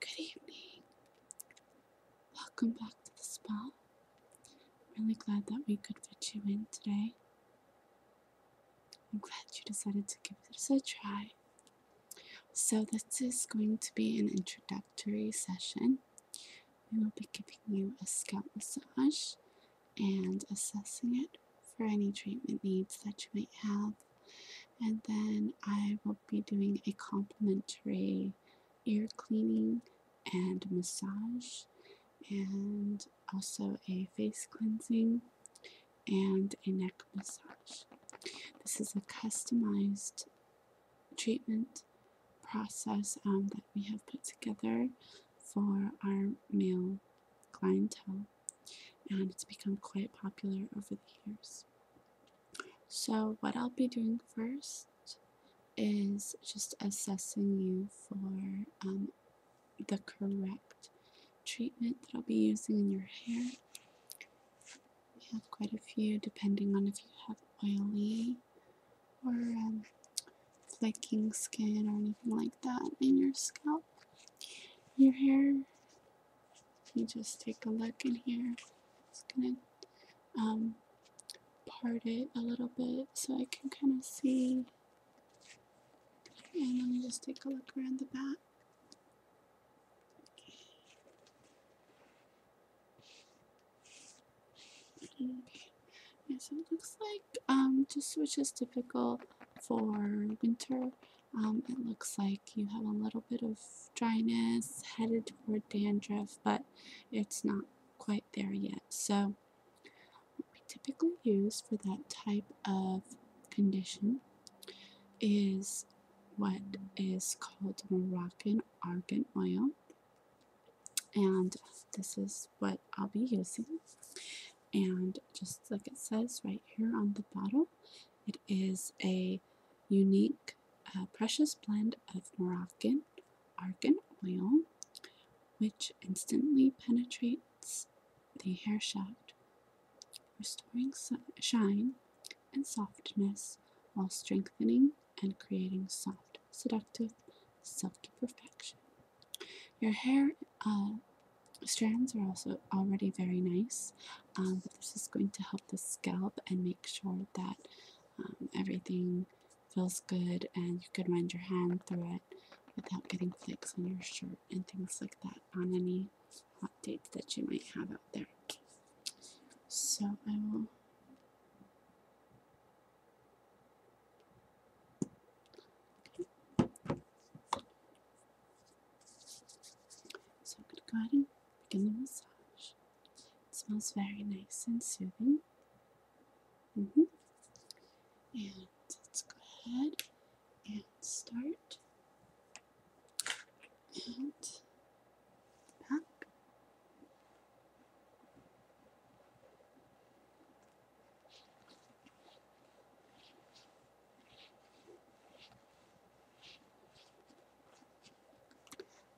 Good evening. Welcome back to the spa. I'm really glad that we could fit you in today. I'm glad you decided to give this a try. So, this is going to be an introductory session. We will be giving you a scalp massage and assessing it for any treatment needs that you might have and then I will be doing a complimentary ear cleaning and massage, and also a face cleansing and a neck massage. This is a customized treatment process um, that we have put together for our male clientele and it's become quite popular over the years. So, what I'll be doing first is just assessing you for um, the correct treatment that I'll be using in your hair. We have quite a few depending on if you have oily or um, flaking skin or anything like that in your scalp. Your hair let me just take a look in here. Just gonna um, part it a little bit so I can kind of see. And let me just take a look around the back. Okay. Yeah, so it looks like um just which is typical for winter um, it looks like you have a little bit of dryness headed toward dandruff, but it's not quite there yet. So, what we typically use for that type of condition is what is called Moroccan Argan Oil, and this is what I'll be using and just like it says right here on the bottle, it is a unique uh, precious blend of Moroccan argan oil, which instantly penetrates the hair shaft, restoring shine and softness while strengthening and creating soft, seductive, silky perfection. Your hair um, strands are also already very nice, um, but this is going to help the scalp and make sure that um, everything feels good and you can wind your hand through it without getting flakes on your shirt and things like that on any hot dates that you might have out there. So I will. So I'm going to go ahead and begin the massage. It smells very nice and soothing. Mm-hmm. And let's go ahead and start at back.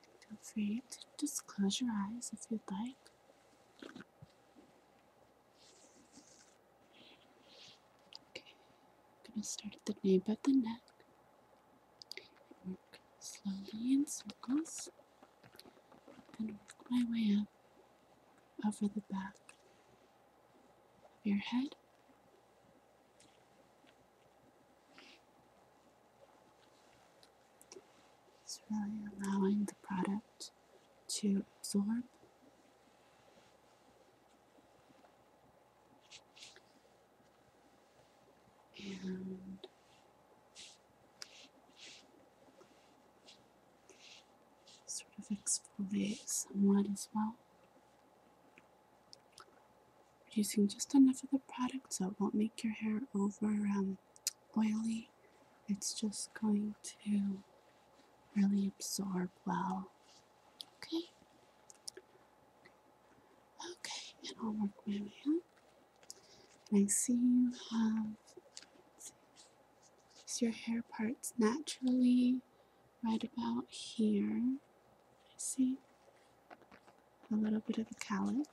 Feel free to just close your eyes if you'd like. Okay, I'm going to start at the nape of the neck. Work slowly in circles and work my way up over the back your head. It's really allowing the product to absorb and sort of exfoliate somewhat as well. Using just enough of the product so it won't make your hair over um, oily. It's just going to really absorb well. Okay. Okay, and I'll work my way up. I see you have Fix your hair parts naturally right about here. I see a little bit of a calic.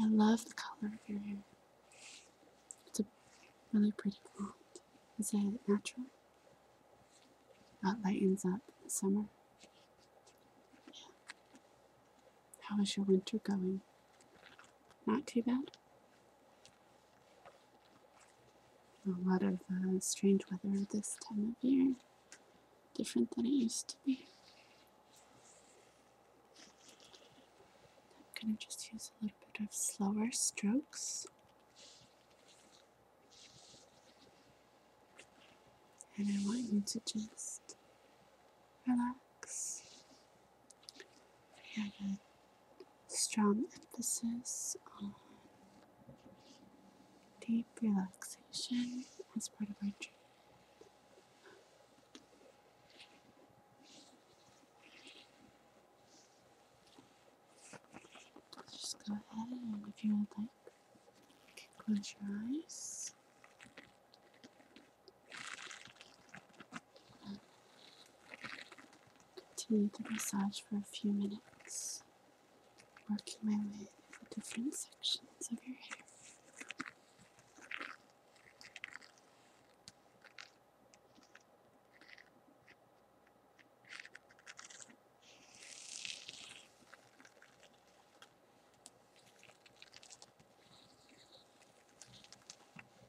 I love the color of your hair. It's a really pretty color. Is it natural? That lightens up in the summer. Yeah. How is your winter going? Not too bad. A lot of uh, strange weather this time of year, different than it used to be. I'm going to just use a little bit of slower strokes. And I want you to just relax we have a strong emphasis on deep relaxation as part of our trip. Just go ahead and if you would like, close your eyes. Continue the massage for a few minutes, working my way through the different sections of your hair.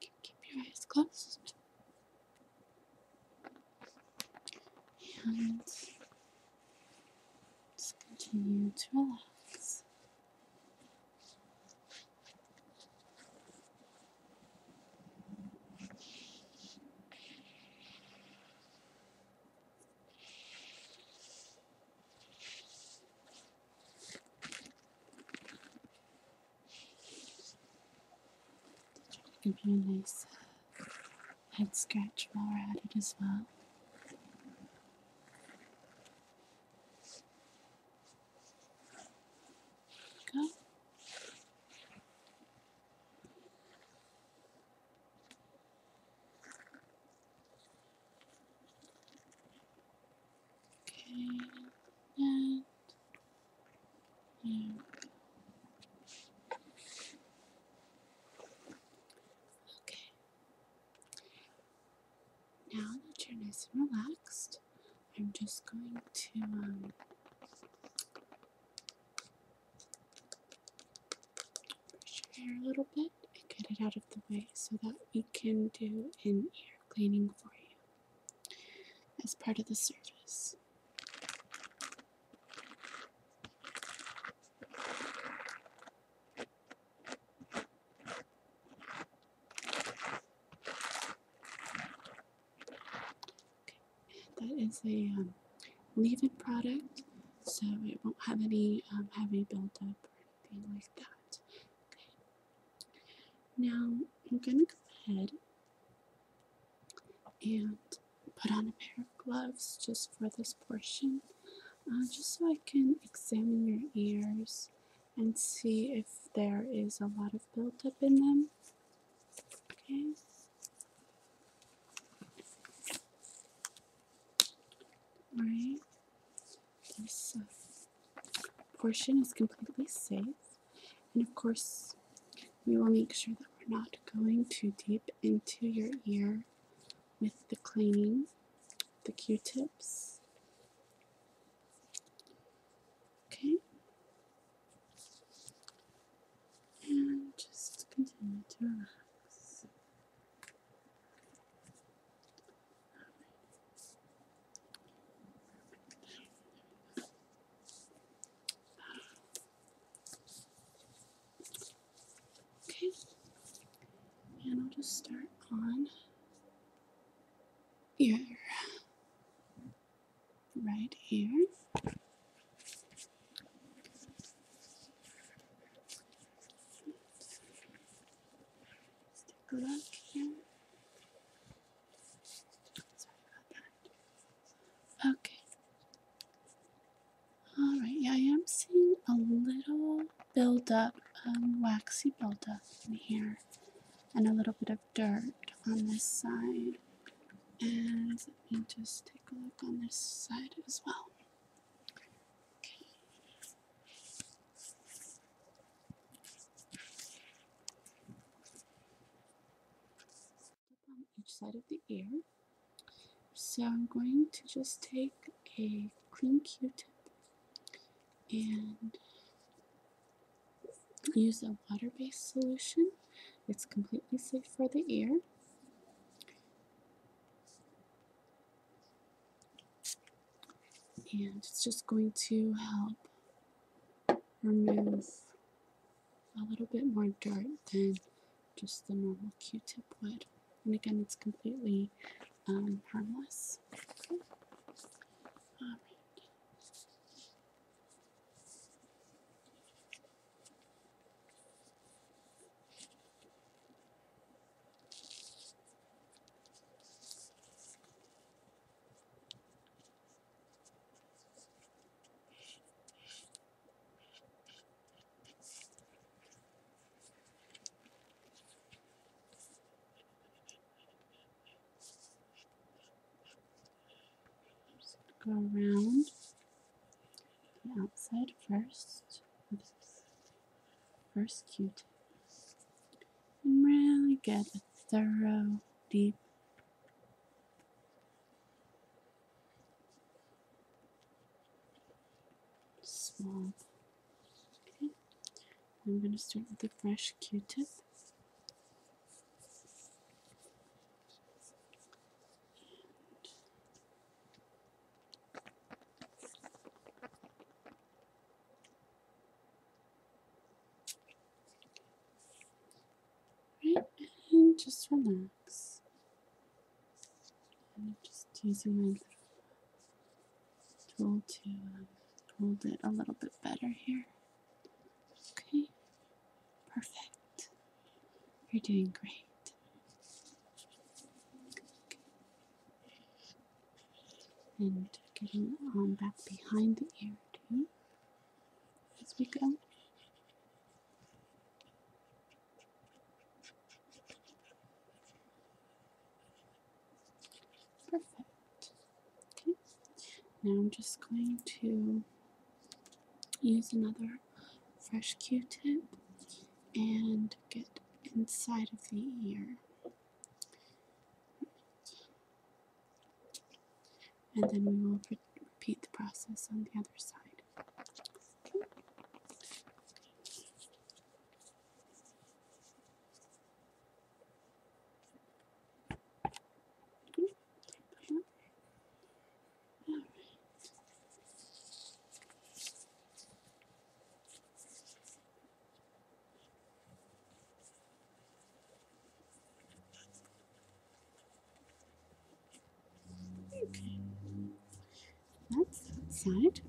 Keep your eyes closed. And just continue to relax. Give you a nice uh, head scratch while we're at it as well. Go. Okay, and yeah. Okay. Now that you're nice and relaxed, I'm just going to um, brush your hair a little bit and get it out of the way so that we can do an ear cleaning for you as part of the service. That is a um, leave-in product, so it won't have any um, heavy buildup or anything like that. Now I'm going to go ahead and put on a pair of gloves just for this portion, uh, just so I can examine your ears and see if there is a lot of buildup in them. Okay. All right this portion is completely safe. And of course, we will make sure that we're not going too deep into your ear with the cleaning, the q-tips. Okay? And just continue to relax. Okay, and I'll just start on here, right ear. Let's here. Okay. Alright, yeah, I am seeing a little buildup, um, waxy build up in here, and a little bit of dirt on this side. And let me just take a look on this side as well. Okay on each side of the ear. So I'm going to just take a clean Q-tip and use a water-based solution. It's completely safe for the ear and it's just going to help remove a little bit more dirt than just the normal q-tip would and again it's completely um, harmless just go around the outside first first Q-tip, and really get a thorough, deep Small. Okay, I'm going to start with a fresh Q-tip, Right, and just relax. I'm just using my tool to um, hold it a little bit better here. Okay, perfect. You're doing great and getting on back behind the ear too as we go. Perfect. Now I'm just going to use another fresh Q-tip and get inside of the ear. And then we will repeat the process on the other side. Okay. That's that side.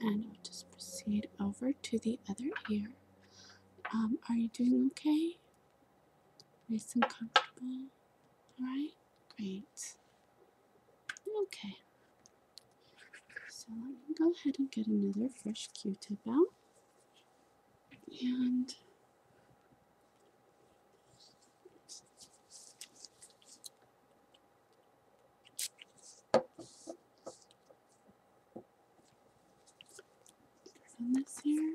And I'll just proceed over to the other ear. Um, are you doing okay? Nice and comfortable? Alright? Great. Okay. So let me go ahead and get another fresh Q-tip out. And this here.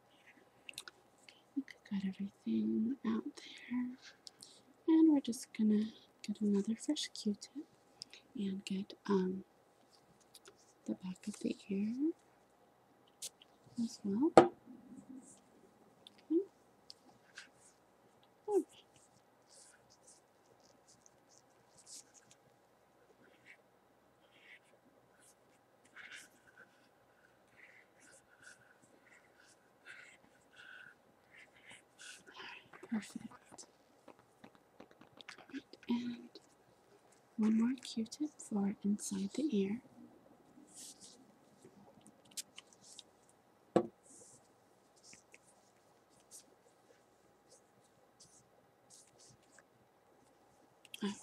I think I got everything out there. And we're just gonna get another fresh Q-tip and get um, the back of the ear as well. Perfect. and one more Q-tip for inside the ear. All right.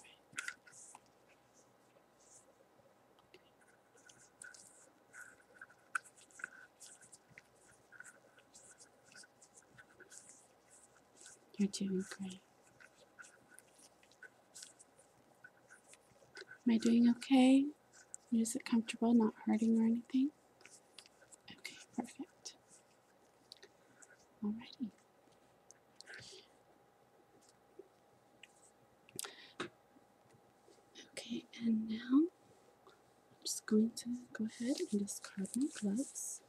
You're doing great. Am I doing okay? Is it comfortable, not hurting or anything? Okay, perfect. Alrighty. Okay, and now I'm just going to go ahead and discard my gloves.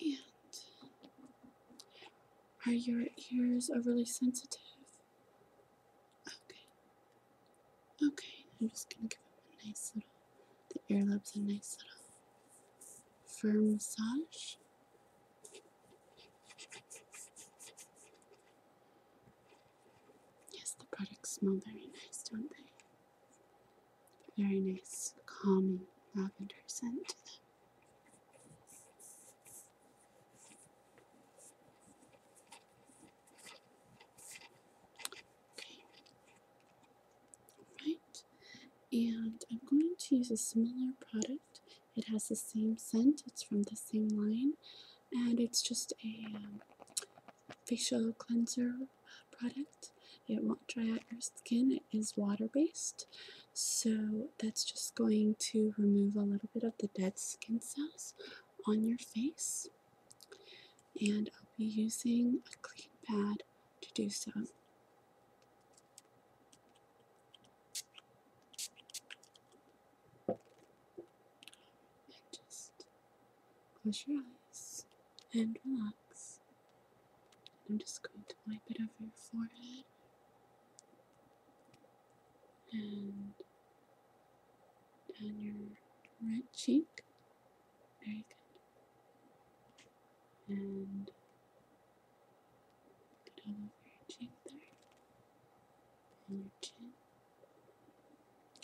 And are your ears overly sensitive? Okay. Okay, I'm just gonna give it a nice little, the earlobes a nice little firm massage. Yes, the products smell very nice, don't they? Very nice, calming lavender scent to them. Right. And I'm going to use a similar product. It has the same scent. It's from the same line. And it's just a um, facial cleanser uh, product. It won't dry out your skin. It is water based. So that's just going to remove a little bit of the dead skin cells on your face. And I'll be using a clean pad to do so. just close your eyes and relax. I'm just going to wipe it over your forehead, and down your right cheek. Very good. And get all over your cheek there. And your chin.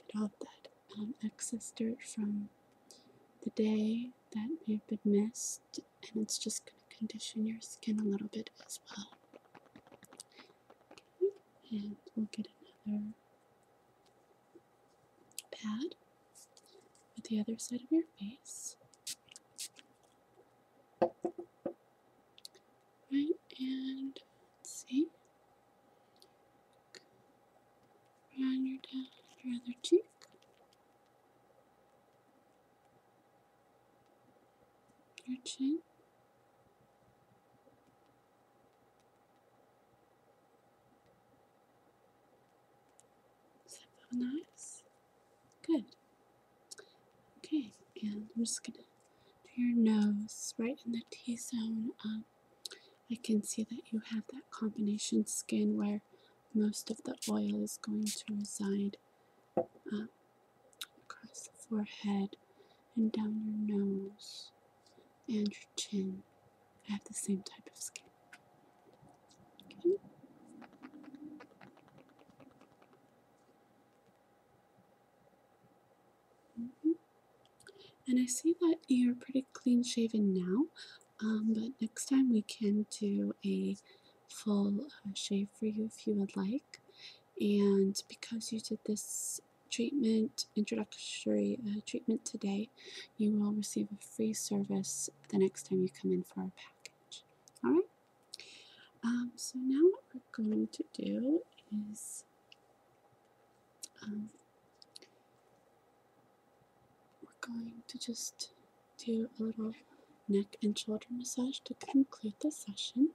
Get all of that um, excess dirt from the day that may have been missed and it's just going to condition your skin a little bit as well. Okay, and we'll get another pad with the other side of your face. Right, and let's see. Run your other cheek. Okay. Is nice? Good. Okay, and I'm just gonna do your nose right in the T zone. Um, I can see that you have that combination skin where most of the oil is going to reside um, across the forehead and down your nose and your chin. I have the same type of skin. And I see that you're pretty clean shaven now, um, but next time we can do a full uh, shave for you if you would like. And because you did this treatment, introductory uh, treatment today, you will receive a free service the next time you come in for a package. All right. Um, so now what we're going to do is um, we're going to just do a little neck and shoulder massage to conclude the session.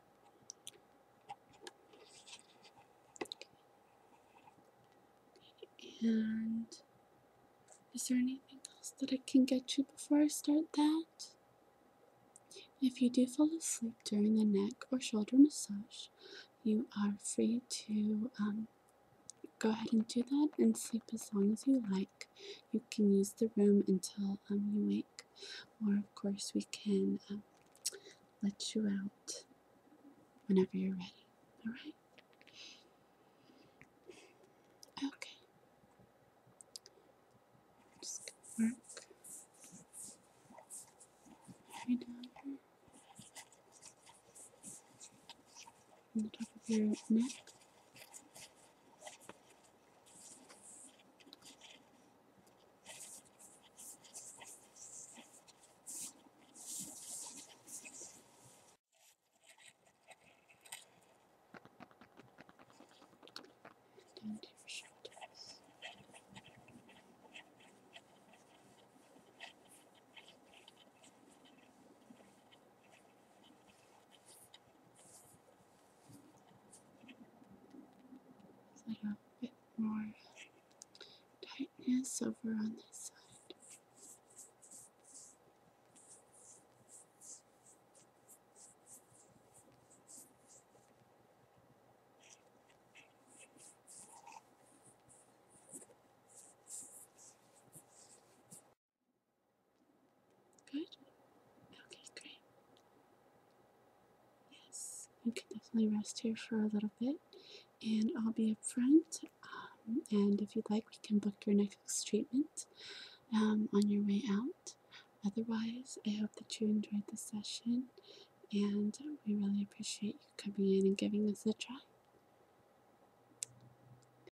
And is there anything else that I can get you before I start that? If you do fall asleep during the neck or shoulder massage, you are free to um, go ahead and do that and sleep as long as you like. You can use the room until um, you wake, or of course, we can um, let you out whenever you're ready. All right? Okay. Just work on the top of your neck. Down to your shoulders a bit more tightness over on this side. Good? Okay, great. Yes, you can definitely rest here for a little bit, and I'll be up front. Um, and if you'd like, we can book your next treatment um, on your way out. Otherwise, I hope that you enjoyed the session, and we really appreciate you coming in and giving us a try.